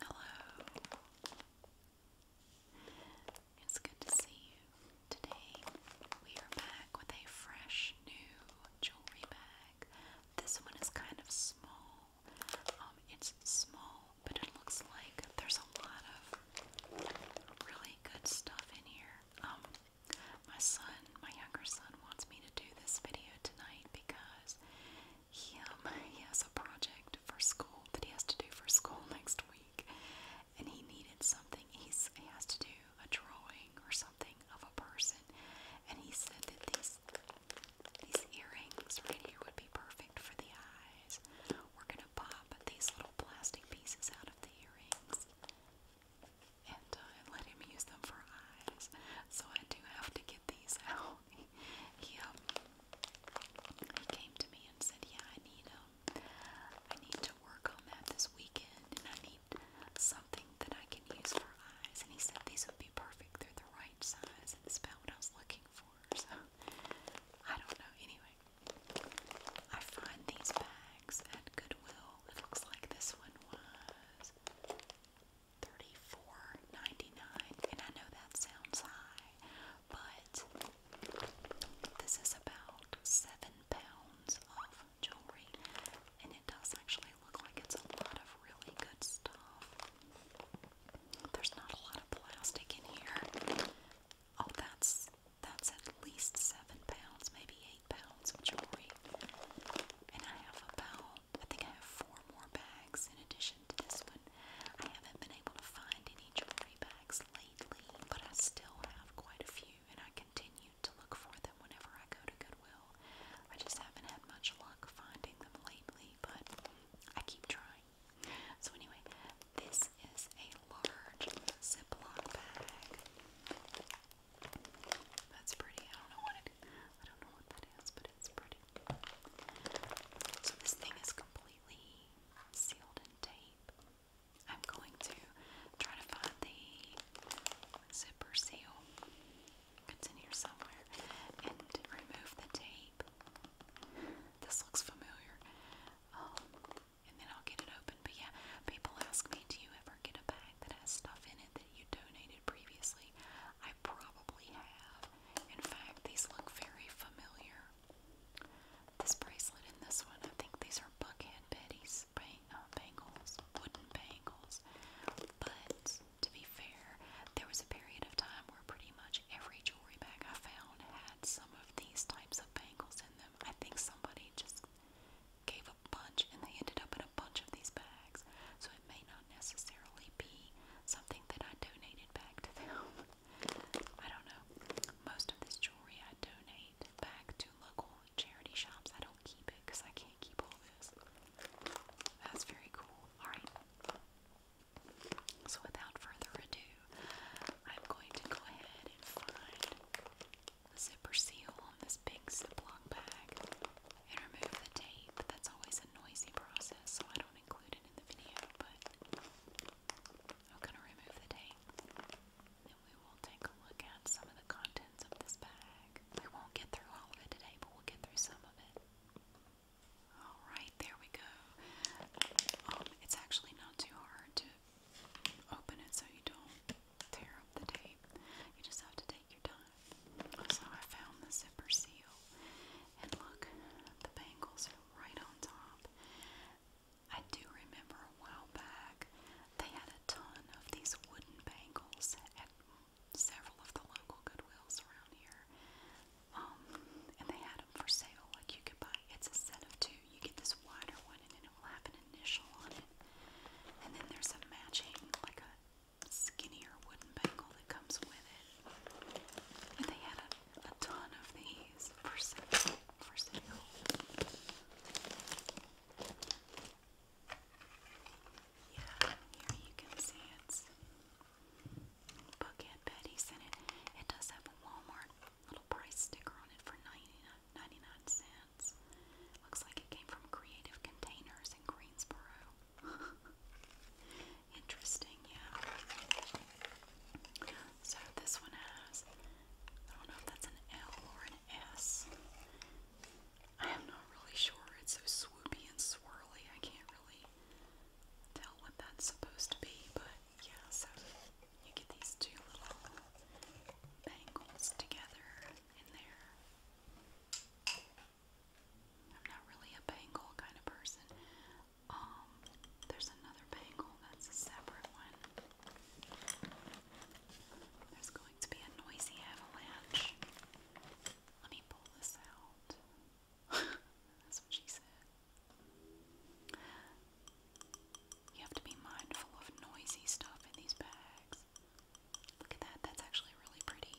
Hello. It's good to see you. Today we are back with a fresh new jewelry bag. This one is kind of small. Um, it's small, but it looks like there's a lot of really good stuff in here. Um, my son, my younger son, wants me to do this video tonight because he, um, he has a project for school that he has to do for school next week, and he needed something. He's, he has to do a drawing or something of a person, and he said that these these earrings right here would be perfect for the eyes. We're gonna pop these little plastic pieces out of the earrings. And I let him use them for eyes. So I do have to get these out. he, um, he came to me and said, Yeah, I need them. Um, I need to work on that this weekend. And I need something that I can use for eyes. And he said these would be perfect. They're the right size. it's about what I was looking for. So I don't know. Anyway, I find these bags at Goodwill. It looks like this one was $34.99, and I know that sounds high, but this is about seven pounds of jewelry, and it does actually look like it's a lot of really good stuff. There's not a lot of plastic in here. Oh, that's that's at least seven pounds, maybe eight pounds of jewelry. And I have about, I think I have four more bags in addition to this one. I haven't been able to find any jewelry bags lately, but I still have quite a few and I continue to look for them whenever I go to Goodwill. I just haven't had much luck finding them lately, but I keep trying. So, anyway, this is a large Ziploc bag. That's pretty. I don't know what it. I don't know what that is, but it's pretty. So this thing is completely sealed in tape. I'm going to try to find the zipper seal. It's in here somewhere, and remove the tape. This looks familiar. Um, and then I'll get it open. But yeah, people ask me, do you ever get a bag that has stuff in it that you donated previously? I probably have. In fact, these look very familiar. This bracelet and this one, I think these are Buckhead Betty's bang uh, bangles, wooden bangles. But to be fair, there was a period of time where pretty much every jewelry bag I found had some of these types of bangles in them them. I think somebody just gave a bunch and they ended up in a bunch of these bags. So it may not necessarily be something that I donated back to them. I don't know. Most of this jewelry I donate back to local charity shops. I don't keep it because I can't keep all this. That's very cool. Alright. So without further ado, I'm going to go ahead and find the zipper seal on this big Ziploc bag and remove the tape. That's always a noisy process, so I don't include it in the video, but I'm going to remove the tape and we will take a look at some of the contents of this bag. We won't get through all of it today, but we'll get through some of it. Alright, there we go. Um, it's actually not too hard to open it so you don't tear up the tape. You just have to take your time. So I found the zipper seal, and look, the bangles are right on top. I do remember a while back they had a ton of these wooden bangles at several of the local Goodwills around here. Um, and they had item for sale, like you could buy. It's a set of two. You get this wider one, and then it will have an initial on it. And then there's a matching, like a skinnier wooden bangle that comes with it. And they had a, a ton of these for sale. For sale. Yeah, here you can see it's Bookhead Betty sent it. It does have a Walmart Little price sticker on it for 99 cents. Looks like it came from Creative Containers in Greensboro. Interesting, yeah. So this one has, I don't know if that's an L or an S. I am not really sure. It's so swoopy and swirly. I can't really tell what that's supposed to be, but yeah, so you get these two little bangles together in there. I'm not really a bangle kind of person. Um, there's another bangle that's a separate one. There's going to be a noisy avalanche. Let me pull this out. That's what she said. You have to be mindful of noisy stuff in these bags. Look at that, that's actually really pretty.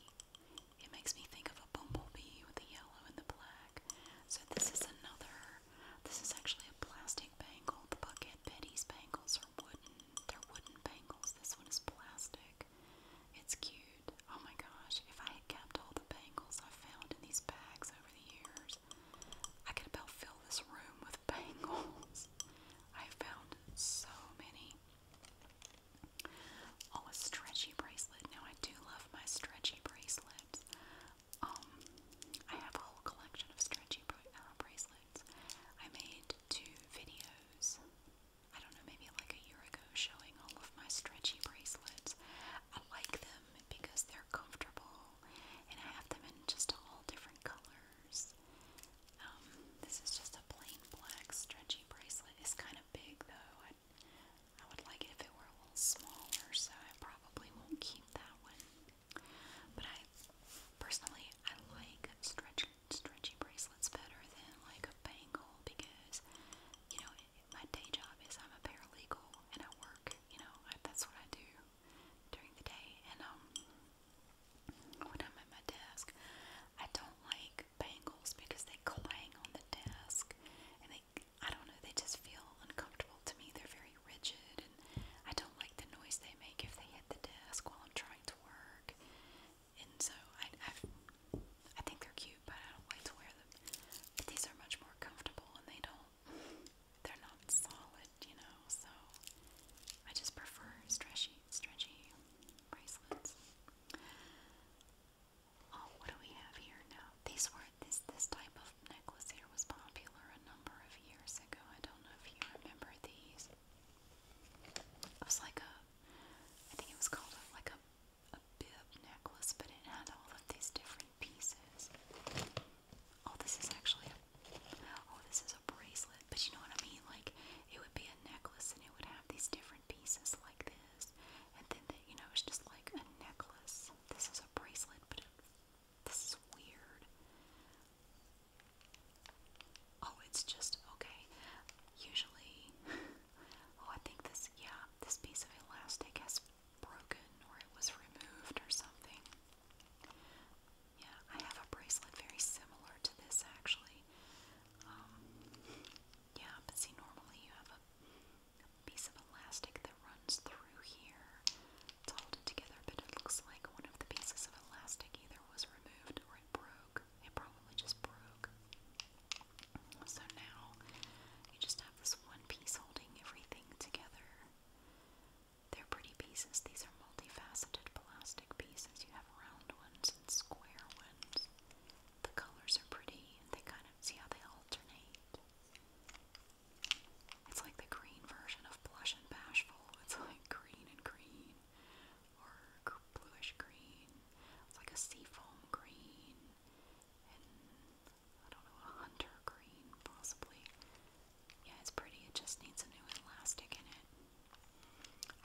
It makes me think of a bumblebee with the yellow and the black. So this is another, this is actually a plastic bangle. The Bucket Betty's bangles are wooden. They're wooden bangles. This one is plastic. It's cute. Oh my gosh, if I had kept all the bangles i found in these bags over the years, I could about fill this room with bangles. I found so many. Oh, a stretchy bracelet. Now I do love my stretchy bracelets. Um, I have a whole collection of stretchy bra uh, bracelets. I made two videos. I don't know, maybe like a year ago, showing all of my stretchy bracelets. I like them because they're comfortable and I have them in just all different colors. Um, this is just a plain black stretchy bracelet. It's kind of big though. I, would like if it were a little smaller, so I probably won't keep that one. But I personally I like stretchy bracelets better than like a bangle because you know my day job is I'm a paralegal and I work. You know I, that's what I do during the day and um, when I'm at my desk I don't like bangles because they clang on the desk and they I don't know they just feel uncomfortable to me they're very rigid and I don't like the noise they make if they hit the desk while I'm trying to work and so I I think they're cute but I don't like to wear them but these are much more comfortable and they don't they're not solid, you know, so I just prefer stretchy, stretchy bracelets. Oh, what do we have here now? These were this this type of necklace here was popular a number of years ago. I don't know if you remember these. It was like a, I think it was called a, like a a bib necklace, but it had all of these different pieces. Oh, this is actually a, oh, this is a bracelet, but you know what I mean? Like, it would be a necklace and it would have these different pieces like this, and then, the, you know, it's just like a necklace. This is a bracelet, but this is weird. Oh, it's just, okay, usually, oh, I think this, yeah, this piece of elastic has broken or it was removed or something. Yeah, I have a bracelet very similar to this actually. Um, yeah, but see, normally you have a, piece of elastic that runs through here to hold together, but it looks like one of the pieces of elastic either was removed or it broke. It probably just broke. So now you just have this one piece holding everything together. They're pretty pieces. These are multifaceted plastic pieces. You have round ones and square ones. The colors are pretty and they kind of see how they alternate. It's like the green version of blush and bashful. It's like green and green or bluish green. It's like a seafoam green and I don't know, a hunter green possibly. Yeah, it's pretty. It just needs a new elastic in it.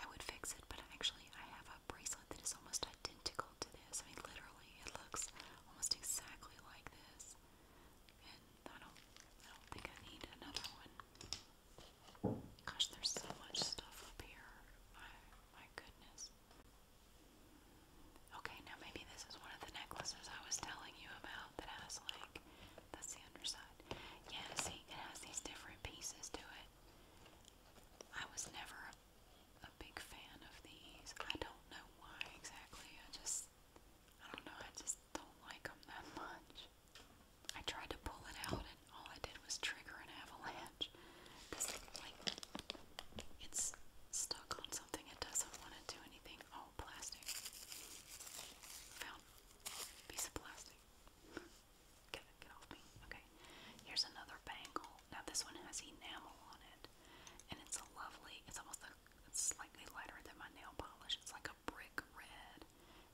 I would fix it, but actually, I have a bracelet that is almost identical to this. I mean, literally, it looks almost exactly like this. And I don't, I don't think I need another one. Gosh, there's so much stuff up here. My, my goodness. Okay, now maybe this is one of the necklaces I was telling you about that has like that's the underside. Yeah, see, it has these different pieces to it. I was never a, big fan of these. I don't know why exactly. I just, I don't know, I just don't like them that much. I tried to pull it out and all I did was trigger an avalanche. This is like, it's stuck on something. It doesn't want to do anything. Oh, plastic. Found a piece of plastic. get it, get off me. Okay. Here's another bangle. Now this one has enamel on it. And it's a lovely, it's almost a, it's slightly lighter than my nail polish. It's like a brick red.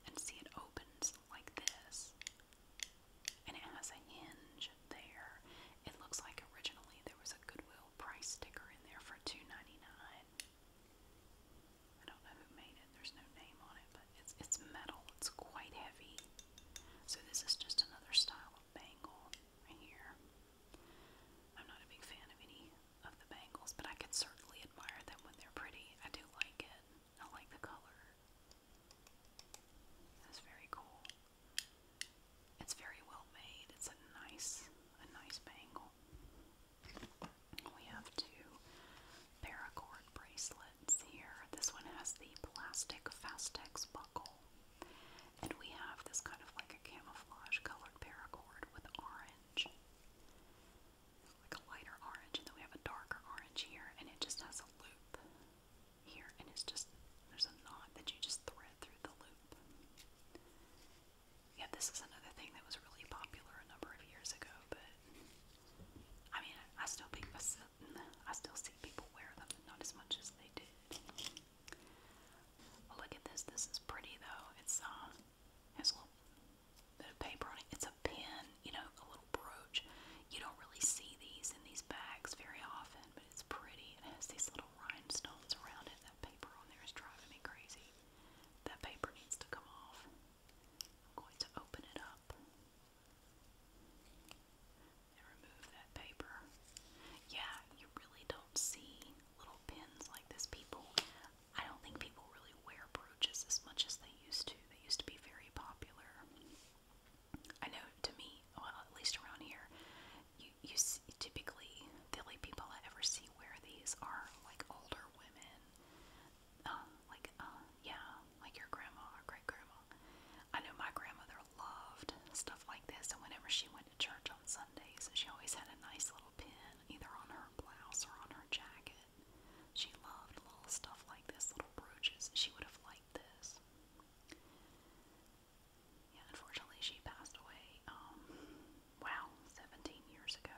And see it opens like this. And it has a hinge there. It looks like originally there was a Goodwill price sticker in there for $2.99. I don't know who made it. There's no name on it, but it's it's metal. It's quite heavy. So this is just another style of bangle right here. I'm not a big fan of any of the bangles, but I can certainly admire them when they're pretty. I do like it. I like the color. That's very cool. It's very well made. It's a nice, a nice bangle. We have two paracord bracelets here. This one has the plastic Fastex buckle. And we have this kind of like a camouflage colored paracord with orange. Like a lighter orange, and then we have a darker orange here, and it just has a loop here, and it's just there's a knot that you just thread through the loop. Yeah, this is another thing that was really popular a number of years ago, but I mean, I still think I still see people wear them, not as much as they did. Well, oh, look at this. This is pretty though. It's um, has a little bit of paper on it. It's a pin, you know, a little brooch. You don't really see these in these bags very often, but it's pretty. It has these little rhinestones around it. That paper on there is driving me crazy. That paper needs to come off. I'm going to open it up and remove that paper. Yeah, you really don't see little pins like this. People, I don't think people really wear brooches as much as they used to. They used to be very popular. I know to me, well, at least around here, you, you see, typically the only people I ever see where these are like older women, uh, like uh, yeah, like your grandma or great grandma. I know my grandmother loved stuff like this, and whenever she went to church on Sundays, she always had a nice little pin either on her blouse or on her jacket. She loved little stuff like this, little brooches. She would have liked this. Yeah, unfortunately, she passed away um, wow, 17 years ago.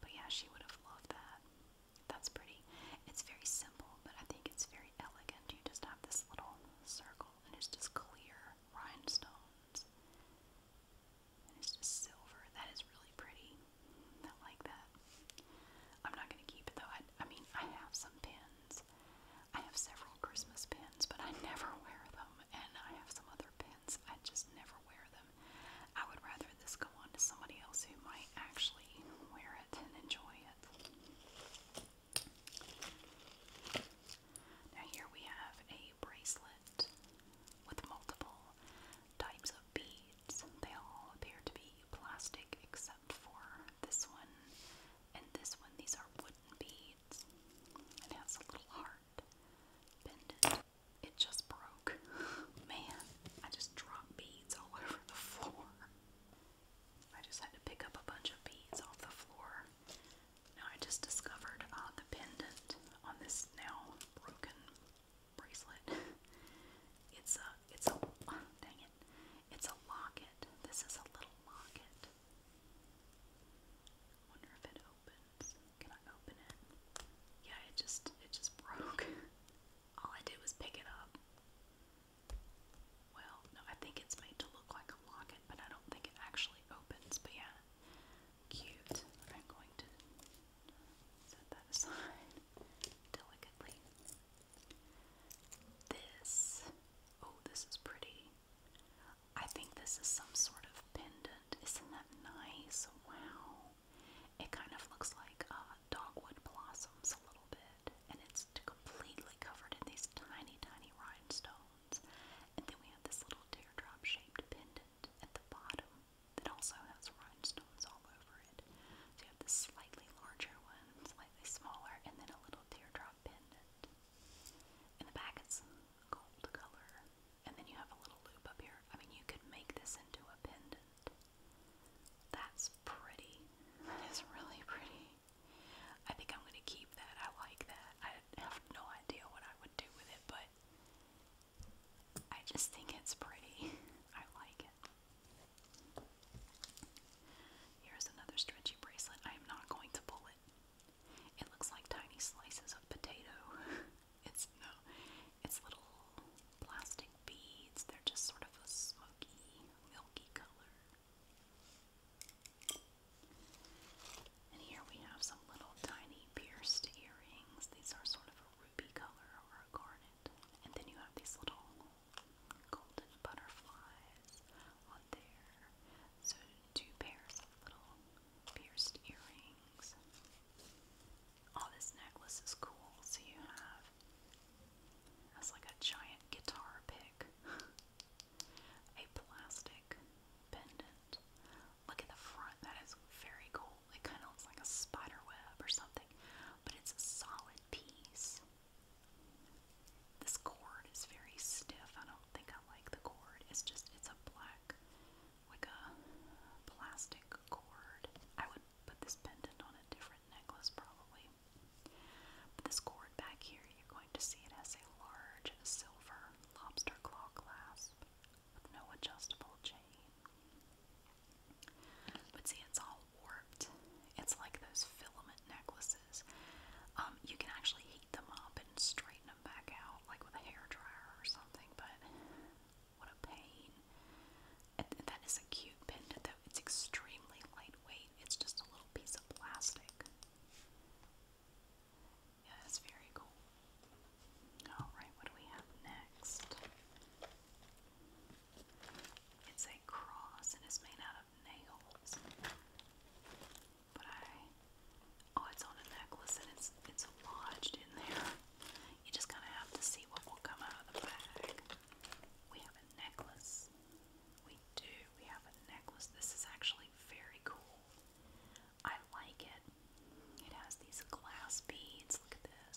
But yeah, she would have loved that. That's pretty. It's very simple, but I think it's very elegant. You just have this little circle, and it's just clear rhinestones. And it's just silver. That is really pretty. I like that. I'm not going to keep it though. I, I mean, I have some pins. I have several Christmas pins, but I never wear them. And I have some other pins pants. I just never wear them. I would rather this go on to somebody else who might actually wear it and enjoy it. Now, here we have a bracelet with multiple types of beads. They all appear to be plastic except for this one and this one. These are wooden beads. It has a little heart pendant. It just broke. Man, I just dropped beads all over the floor. I just had to pick up a bunch of beads off the floor. Now I just discovered the pendant on this now broken bracelet. It's a, it's a, dang it, it's a locket. This is a little locket. Wonder if it can I open it? Yeah, it just it just broke. All I did was pick it up. Well, no, I think it's made to look like a locket, but I don't think it actually opens. But yeah, cute. I'm going to set that aside delicately. This, oh, this is pretty. I think this is some sort of pendant. Isn't that nice? Wow. It kind of looks like uh, dogwood blossoms a little bit, and it's completely covered in these tiny, tiny rhinestones. And then we have this little teardrop shaped pendant at the bottom that also has rhinestones all over it. you have this slightly larger one, slightly smaller, and then a little teardrop pendant. In the back, gold color. And then you have a little loop up here. I mean, you could make this into a pendant. That's pretty. That is really pretty. I think I'm going to keep that. I like that. I have no idea what I would do with it, but I just think it's pretty. I like it. Here's another stretchy bracelet. I am not going to pull it. It looks like tiny slices of potato. It's no, it's little plastic beads. They're just sort of a smoky, milky color. And here we have some little tiny pierced earrings. These are sort of a ruby color or a garnet. And then you have these little golden butterflies on there. So two pairs of little pierced earrings. Oh, this necklace is cool. So you have that's like a giant guitar pick. a plastic pendant. Look at the front, that is very cool. It kind of looks like a spider web or something, but it's a solid piece. This cord is very stiff. I don't think I like the cord. It's just, it's a black like a plastic cord. I would put this pendant on a different necklace probably. But this cord back here, you're going to see it has a large silver lobster claw clasp no adjustable chain. But see, it's all warped. It's like those filament necklaces. Um, you can actually heat them up and straighten them back out, like with a hair dryer or something. But what a pain! that is a cute pendant, though. It's extremely lightweight. It's just a little piece of plastic. Yeah, that's very cool. All right, what do we have next? It's a cross and it's made out of nails. But I Oh, it's on a necklace and it's it's lodged in there. You just kind of have to see what will come out of the bag. We have a necklace. We do. We have a necklace. This is actually very cool. I like it. It has these glass beads. Look at this.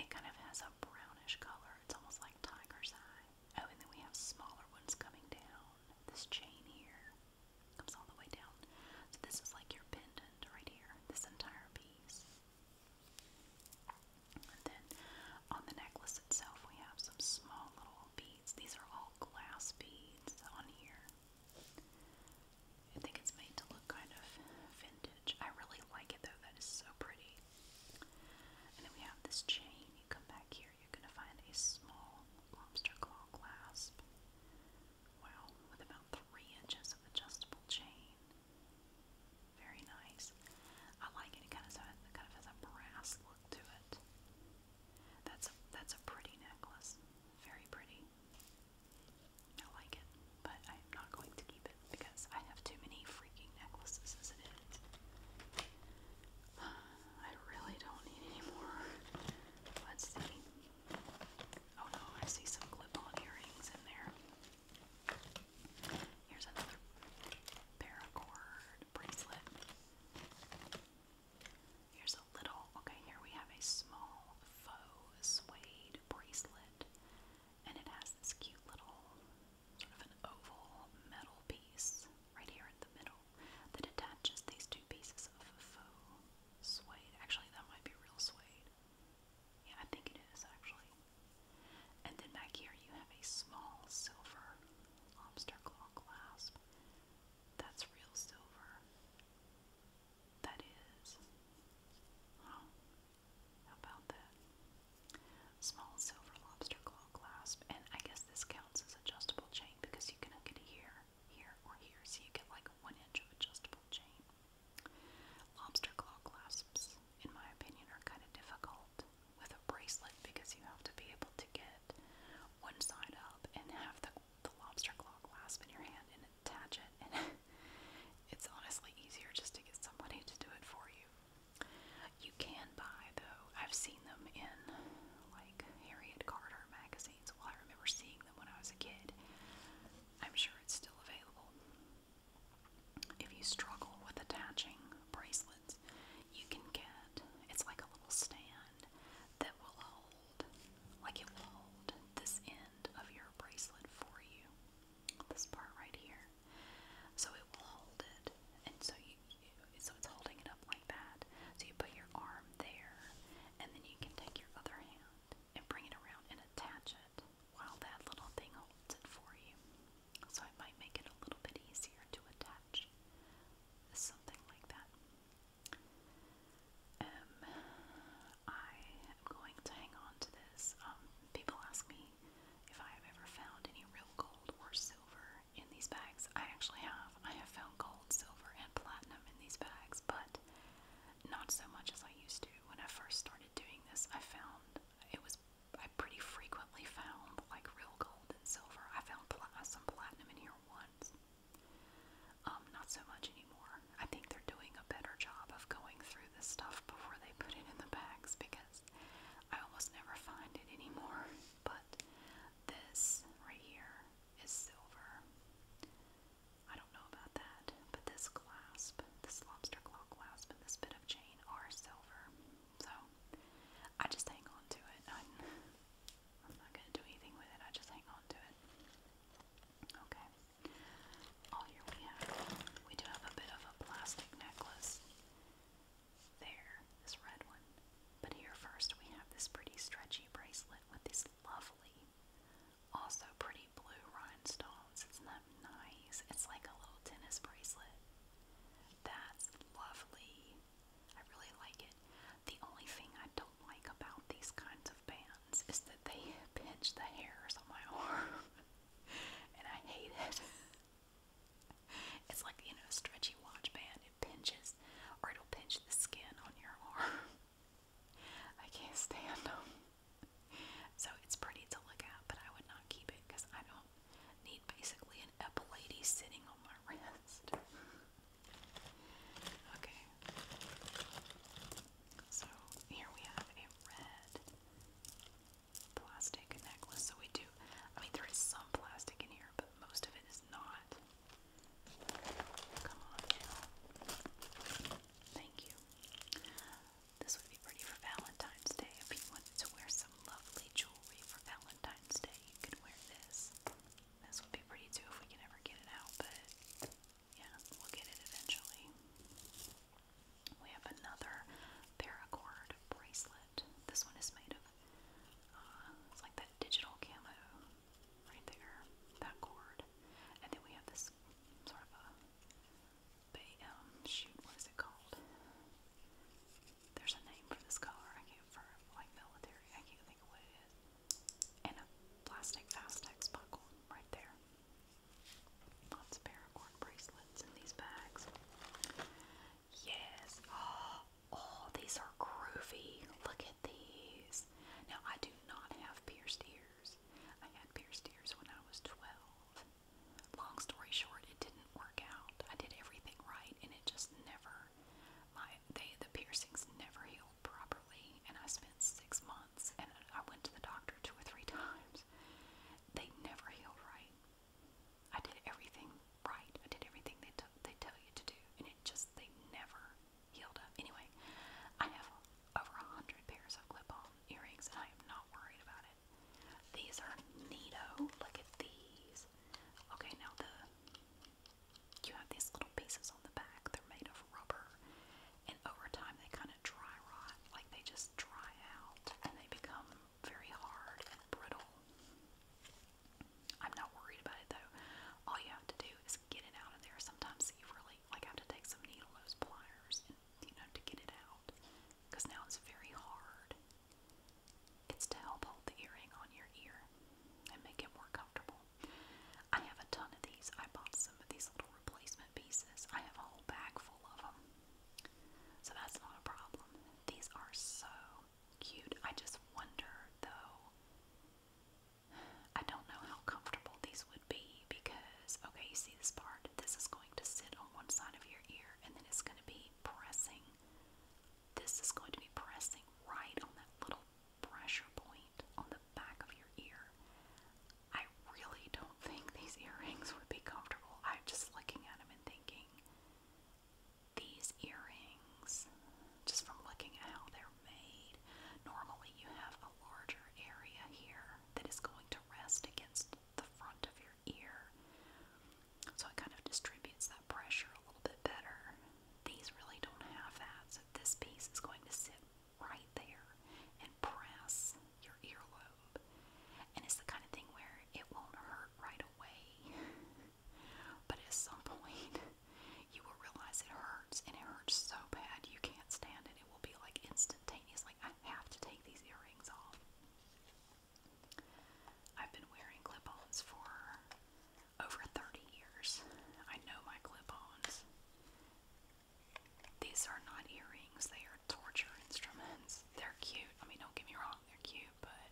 It kind of has a brownish color. It's almost like tiger's eye. Oh, and then we have smaller ones coming down. This chain here. Comes all the way down. So this is like your pendant right here, this entire piece. And then on the necklace itself, we have some small little beads. These are all glass beads on here. I think it's made to look kind of vintage. I really like it though, that is so pretty. And then we have this chain. You come back here, you're going to find a small lobster claw clasp. Wow, with about three inches of adjustable chain. Very nice. I like it. kind of has a, kind of has a brass look to it. That's a, that's a pretty necklace. Very pretty. I like it, but I'm not going to keep it because I have too many freaking necklaces as it is. I really don't need any more. Let's see. Oh no, I see some clip-on earrings in there. Here's another paracord bracelet. Here's a little, okay, here we have a small faux suede bracelet, and it has this cute little sort of an oval metal piece right here in the middle that attaches these two pieces of faux suede. Actually, that might be real suede. Yeah, I think it is actually. And then back here you have a small silver lobster claw clasp. That's real silver. That is. Oh, how about that? Small silver lobster claw clasp. And I guess this counts as adjustable chain because you can hook it here here, or here, so you get like a one inch of adjustable chain. Lobster claw clasps, in my opinion, are kind of difficult with a bracelet because you have to be able to get one side up and have the, the lobster claw clasp in your hand and attach it. And it's honestly easier just to get somebody to do it for you. You can buy though. I've seen them in like Harriet Carter magazines. Well, I remember seeing them when I was a kid. I'm sure it's still available. If you struggle with attaching bracelets, you can get it's like a little stand that will hold, like it will hold this end of your bracelet for you. This part right here. So it will hold it, and so you, so it's holding it up like that. So you put your arm there, and then you can take your other hand and bring it around and attach it while that little thing holds it for you. So it might make it a little bit easier to attach. Something like that. Um, I am going to hang on to this. Um, people ask me if I have ever found any real gold or silver in these bags. I actually have. I have found gold, silver, and platinum in these bags, but not so much as I used to. When I first started doing this, I found it was I pretty frequently found like real gold and silver. I found pl some platinum in here once. Um, not so much anymore. I think they're doing a better job of going through this stuff before they put it in the bags because I almost never find it anymore. But this right here is silver. I don't know about that, but this clasp, this lobster claw clasp, and this bit of chain are silver. So I just hang on to it. I'm, not going to do anything with it, I just hang on to it. Okay. Oh, here we have, do have a bit of a plastic necklace. There, this red one. But here first we have this pretty stretchy bracelet with these lovely also pretty blue rhinestones. Isn't that nice? It's like a little tennis bracelet. That's lovely. I really like it. The only thing I don't like about these kinds of bands is that they pinch the hairs on my arm. and I hate it. it's like, you know, stretchy watch band. It pinches, or it'll pinch the skin on your arm. I can't stand them. So it's pretty to look at, but I would not keep it because I don't need basically an lady sitting on my wrist. okay. So here we have a red plastic necklace. So we do, I mean, there is some plastic in here, but most of it is not. Come on Thank you. This would be pretty for Valentine's Day. If you wanted to wear some lovely jewelry for Valentine's Day, you could wear this. This would be pretty too if we can ever get it out, but yeah, we'll get it eventually. We have another paracord bracelet. This one is made of, uh, it's like that digital camo right there, that chord. And then we have this sort of a um, shoot, what is it called? There's a name for this color. I can't for like military. I can't think of what it is. And a plastic Aztec buckle right there. Lots of paracord bracelets in these bags. Yes. Oh, these are groovy. Look at these. Now I do not have pierced ears. I had pierced ears when I was 12. Long story short, it didn't work out. I did everything right and it just never my they the piercings never healed properly and I spent 6 months and I went to the doctor two or three times. They never healed right. I did everything right. I did everything they t they tell you to do and it just they never healed up. Anyway, I have over a hundred pairs of clip-on earrings, and I am not worried about it. These are neato. Look at these. Okay, now the you have these little pieces on the back. They're made of rubber, and over time they kind of dry rot. Like they just dry out, and they become very hard and brittle. I'm not worried about it though. All you have to do is get it out of there. Sometimes you really like have to take some needle nose pliers you know to get it out because now it's very hard. It's to help hold the earring on your ear and make it more comfortable. I have a ton of these. I bought some of these little replacement pieces. I have a whole bag full of them. So that's not a problem. These are so cute. I just wonder though I don't know how comfortable these would be because, okay, you see this part? This is going to sit on one side of your ear and then it's going to be pressing. This is going to be pressing right on that little pressure point on the back of your ear. I really don't think these earrings would be comfortable. I'm just looking at them and thinking, these earrings, just from looking at how they're Normally, you have a larger area here that is going to rest against the front of your ear. So it kind of distributes that pressure a little bit better. These really don't have that, so this piece is going to sit right there and press your earlobe. And it's the kind of thing where it won't hurt right away, but at some point you will realize it hurts, and it hurts so bad you can't stand it and it will be like instantaneous. I have to take these earrings off. I've been wearing clip ons for over 30 years. I know my clip ons. These are not earrings, they are torture instruments. They're cute. I mean, don't get me wrong, they're cute, but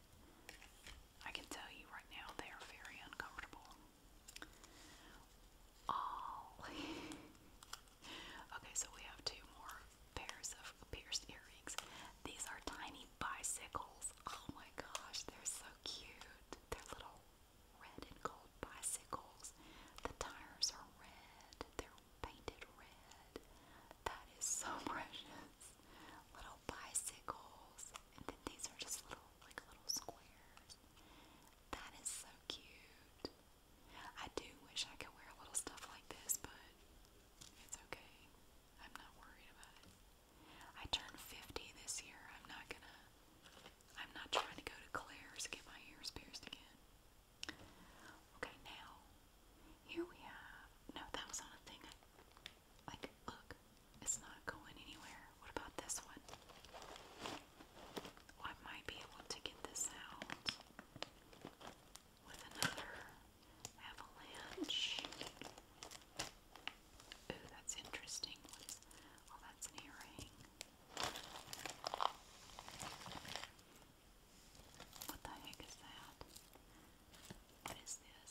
I can tell you right now they are very uncomfortable all. okay, so we have two more pairs of pierced earrings. These are tiny bicycles. Oh my gosh, they're so cute. They're little red and gold bicycles. The tires are red, they're painted red. That is so precious. Little bicycles. And then these are just little, like little squares. That is so cute. I do wish I could wear a little stuff like this, but it's okay. I'm not worried about it. I turned 50 this year. I'm not gonna, I'm not trying to go to Claire's to get my ears pierced again. Okay, now, here we have, no, that was on a thing. like, look, it's not going anywhere. What about this one? I might be able to get this out with another avalanche. Ooh, that's interesting. oh, that's an What the heck is that? What is this?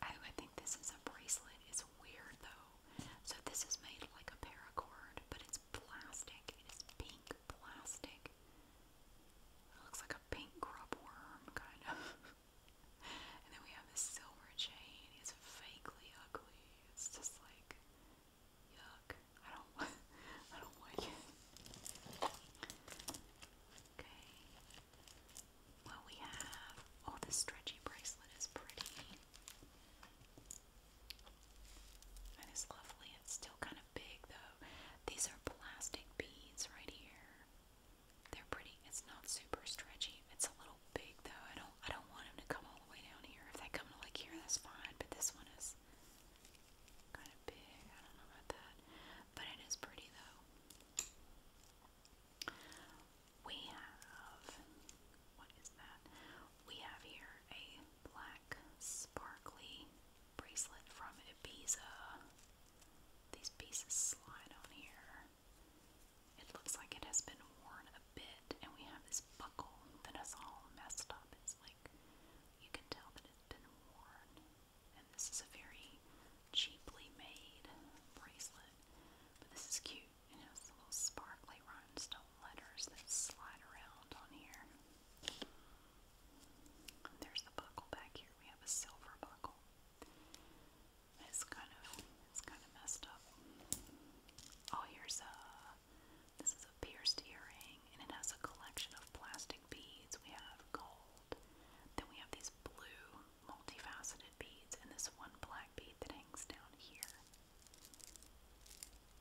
Oh, I think this is a bracelet. It's weird though. So this is made like a paracord, but it's plastic. It is pink plastic. It looks like a pink grub worm, kind of. and then we have this silver chain. It's fakely ugly. It's just like yuck. I don't. I don't like Okay. Well, we have. Oh, this stretchy bracelet is pretty. That is lovely. It's still kind of big though. These are plastic beads right here. They're pretty. It's not super stretchy. It's a little big though. I don't I don't want them to come all the way down here. If they come to like here, that's fine. But this one is kind of big. I don't know about that. But it is pretty though. We have what is that? We have here a black sparkly bracelet from Ibiza. These pieces slide on here. It looks like it has been worn a bit, and we have this buckle that is all messed up. It's like you can tell that it's been worn. And this is a very cheaply made bracelet. But this is cute and it has little sparkly rhinestone letters that slide around on here. there's the buckle back here. We have a silver buckle. It's kind of it's kind of messed up. Oh, here's a this is a pierced earring, and it has a collection of plastic beads. We have gold. Then we have these blue multifaceted beads and this one black bead that hangs down here.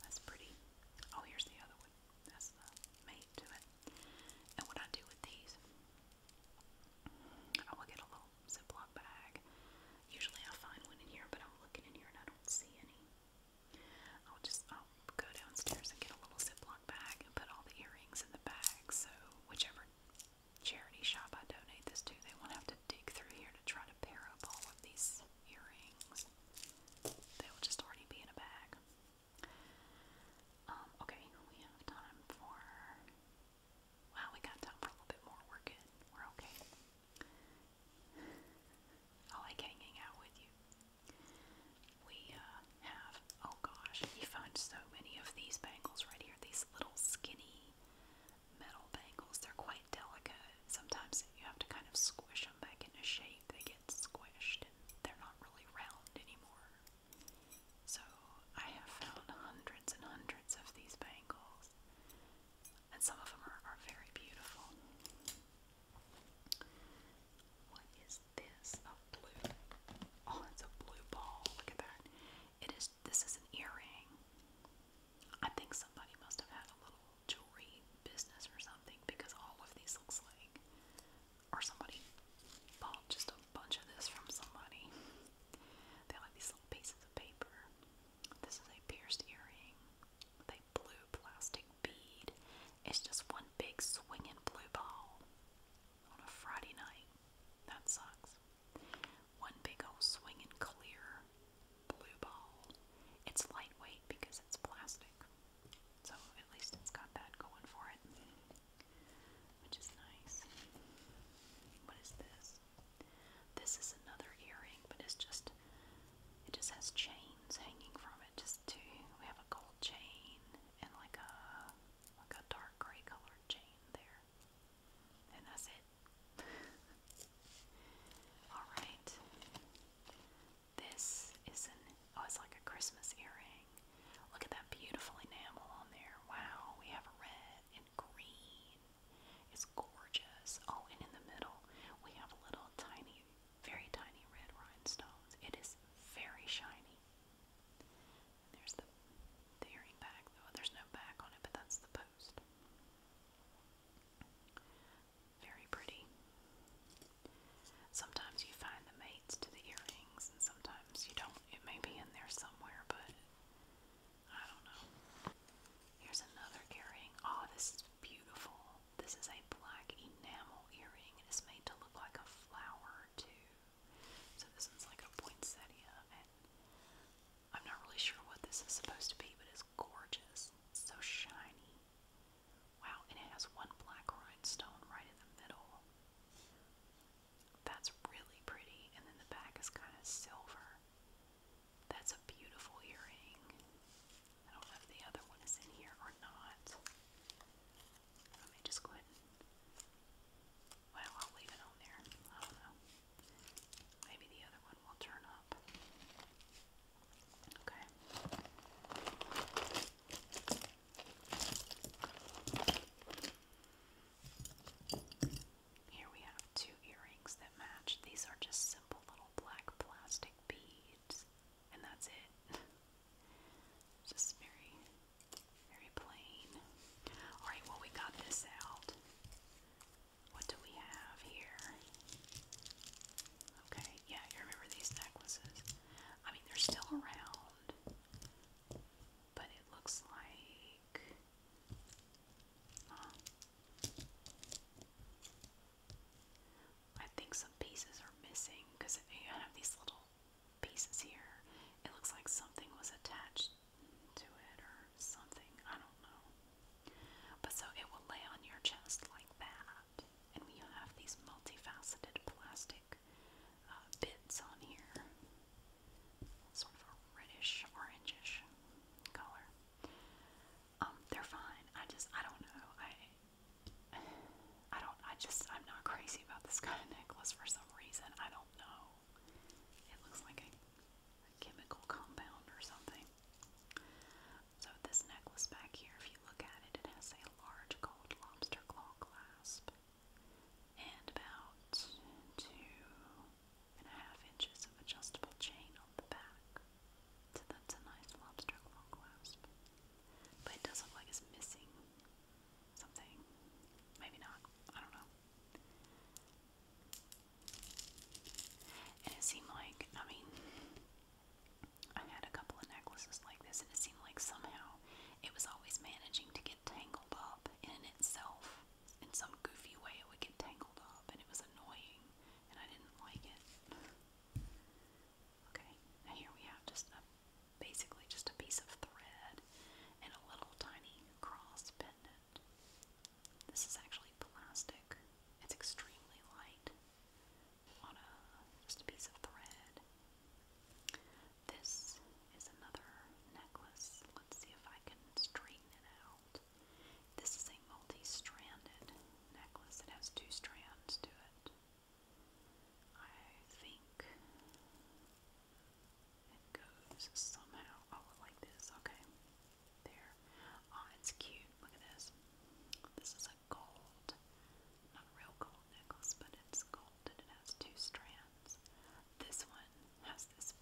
That's pretty. Oh, here's the other one. That's the mate to it. And what I do with these, I will get a little Ziploc bag. Usually I find one in here, but I'm looking in here and I don't see any. I'll just I'll go downstairs and get a little Ziploc bag and put all the earrings in the bag. So whichever charity shop I donate this to, they won't have to to dig through here to try to pair up all of these earrings. They will just already be in a bag. Um, okay, we have time for. Wow, we got time for a little bit more. we We're okay. I like hanging out with you. We uh, have, oh gosh, you find so many of these bangles right here, these little skinny metal bangles. They're quite delicate. Sometimes you have to kind of squish them back into shape. They get squished and they're not really round anymore. So I have found hundreds and hundreds of these bangles, and some of them are, are very beautiful. What is this? A blue? Oh, it's a blue ball. Look at that. It is. This is an earring. I think somebody must have had a little jewelry business or something because all of these looks like or somebody bought just a bunch of this from somebody. They like these little pieces of paper. This is a pierced earring with a blue plastic bead. It's just one big swinging blue ball on a Friday night. That sucks. One big old swinging clear blue ball. It's lightweight because it's plastic, so at least it's got that going for it, which is nice. What is this? This is another earring, but it's just it just has chains hanging from it. Just two. We have a gold chain and like a like a dark gray colored chain there, and that's it. Alright. This is an oh it's like a Christmas earring. Look at that beautiful enamel on there. Wow, we have red and green. It's gorgeous. Oh, and in the middle we have little tiny, very tiny red rhinestones. It is very shiny. There's the, earring back though. There's no back on it, but that's the post. Very pretty. Sometimes you find the mates to the earrings, and sometimes you don't. It may be in there somewhere, but I don't know. Here's another earring. Oh, this is beautiful. This is a black enamel earring. It is made to look like a flower, too. So this one's like a poinsettia, and I'm not really sure what this is supposed to be, but it's gorgeous. It's so shiny. Wow, and it has one black rhinestone right in the middle. That's really pretty, and then the back is kind of silver. That's a beautiful earring. I don't know if the other one is in here or not. Let me just go ahead and. I'll leave it on there. I don't know. Maybe the other one will turn up. Here we have two earrings that match. These are just simple little black plastic beads, and that's it. just very, very plain. Alright, well, we got this out. What do we have here? Okay, yeah, you remember these necklaces. I mean, they're still around, but it looks like. I think some pieces are missing because you have these little pieces here. It looks like something was attached to it or something. I don't know. But so it will lay on your chest like that. And you have these multifaceted plastic uh, bits on here. Sort of reddish, orangish color. Um, they're fine. I just, I don't know. I, don't, I just, I'm not crazy about this kind of necklace for some reason. I don't know. It looks like a chemical compound or something. So this necklace back here, if you look at it, it has a large gold lobster claw clasp and about two and a half inches of adjustable chain on the back. So that's a nice lobster claw clasp. But it does look like it's missing something. Maybe not. I don't know. And it seemed like, I mean, I had a couple of necklaces like this, and it seemed like somehow it was always managing to get tangled up in itself. In some goofy way, it would get tangled up, and it was annoying, and I didn't like it. Okay, here we have just basically just a piece of thread and a little tiny cross pendant. This is actually plastic. It's extremely light on a just a piece of thread. This is another necklace. Let's see if I can straighten it out. This is a multi-stranded necklace. It has two strands to it. I think it goes somehow. like this. Okay. There. Oh, it's cute. Look at this. This is a gold, not real gold necklace, but it's gold and it has two strands. This one has this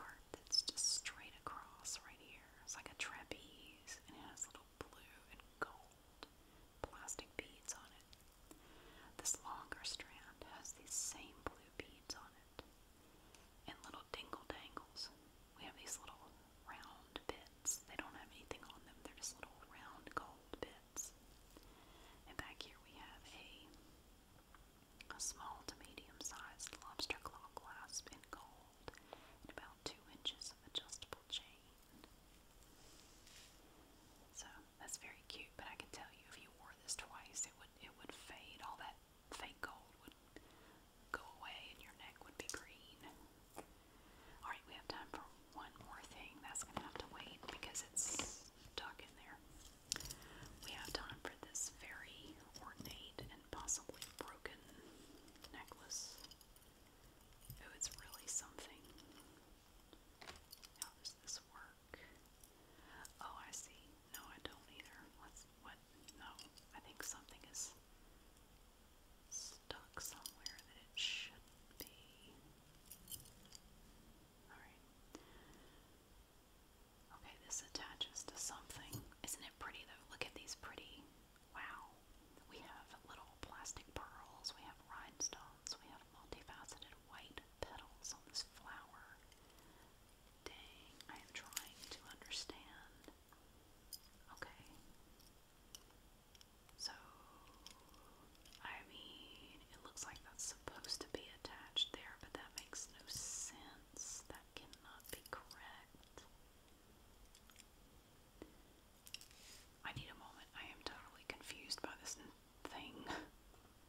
part that's just straight across right here. It's like a trapeze and it has little blue and gold plastic beads on it. This longer strand has these same blue beads on it and little dingle dangles. We have these little round bits. They don't have anything on them, they're just little round gold bits. And back here we have a, a small to medium sized lobster claw clasp in gold and about two inches of adjustable chain. So that's very cute, but I can tell you if you wore this twice it would it would fade all that fake gold would go away and your neck would be green. Alright, we have time for one more thing. That's going to have to wait because it's stuck in there. We have time for this very ornate and possibly broken necklace. Oh, it's really something. How does this work? Oh, I see. No, I don't either. Let's what? No, I think something is stuck somewhere that it should be. Alright. Okay, this attaches to something. Isn't it pretty though? Look at these pretty. Wow. We have little plastic pearls, we have rhinestones, we have multifaceted white petals on this flower. Dang, I am trying to understand Okay. So, I mean, it looks like that's supposed to be attached there, but that makes no sense. That cannot be correct. I need a moment. I am totally confused by this thing.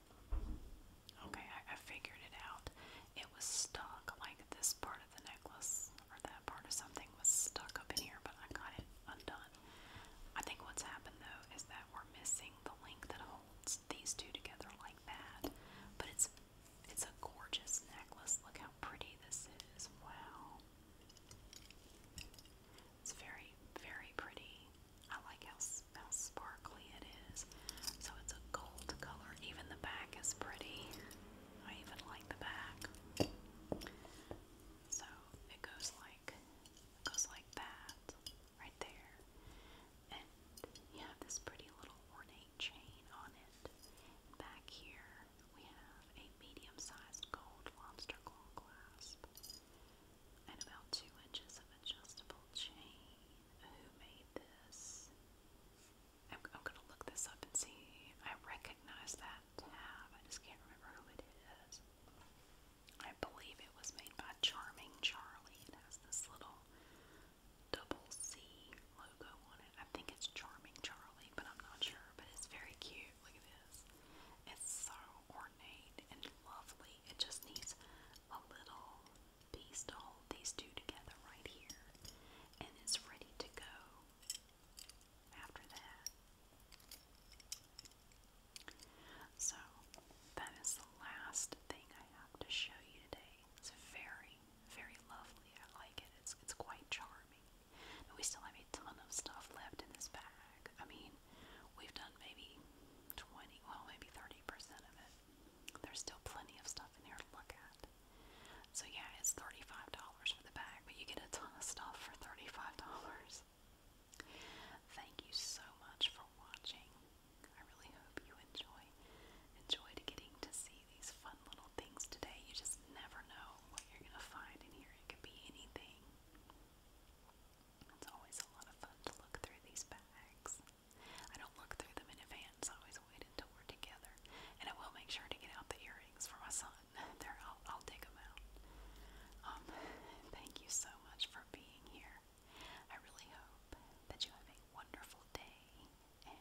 Okay, I, figured it out it was stuck, like this part of the necklace or that part of something was stuck up in here, but I got it undone. I think what's happened though is that we're missing the link that holds these two together like that. But it's it's a gorgeous necklace. Look how pretty this is. Wow. It's very, very pretty. I like how, how sparkly it is. So it's a gold color. Even the back is pretty. I even like the back. So it goes like goes like that right there. And you have this pretty little ornate chain on it. Back here we have a medium-sized gold lobster claw clasp and about two inches of adjustable chain. Who made this? I'm, gonna look this up and see. I recognize that tab. I just can't remember who it is. I believe it was made by Charming Charlie. It has this little double C logo on it. I think it's Charming Charlie, but I'm not sure. But it's very cute. Look at this. It's so ornate and lovely. It just needs a little piece to hold these two together right here. And it's ready to go after that. So, that is the last thing I have to show you today. It's very, very lovely. I like it. It's, it's quite charming. we still have a ton of stuff left in this bag. I mean, we've done maybe 20, well, maybe 30% of it. There's still plenty of stuff in here to look at. So yeah, it's $35 for the bag, but you get a ton of stuff for $35. Thank you so much for watching. I really hope you enjoy enjoyed getting to see these fun little things today. You just never know what you're going to find in here. It could be anything. It's always a lot of fun to look through these bags. I don't look through them in advance. always wait until we're together. And I will make sure to get out the earrings for my son. There, I'll, i them out. Um, thank you so much for being here. I really hope that you have a wonderful day, and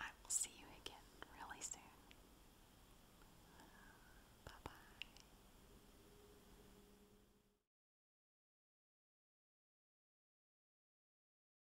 I will see you again really soon. Bye bye.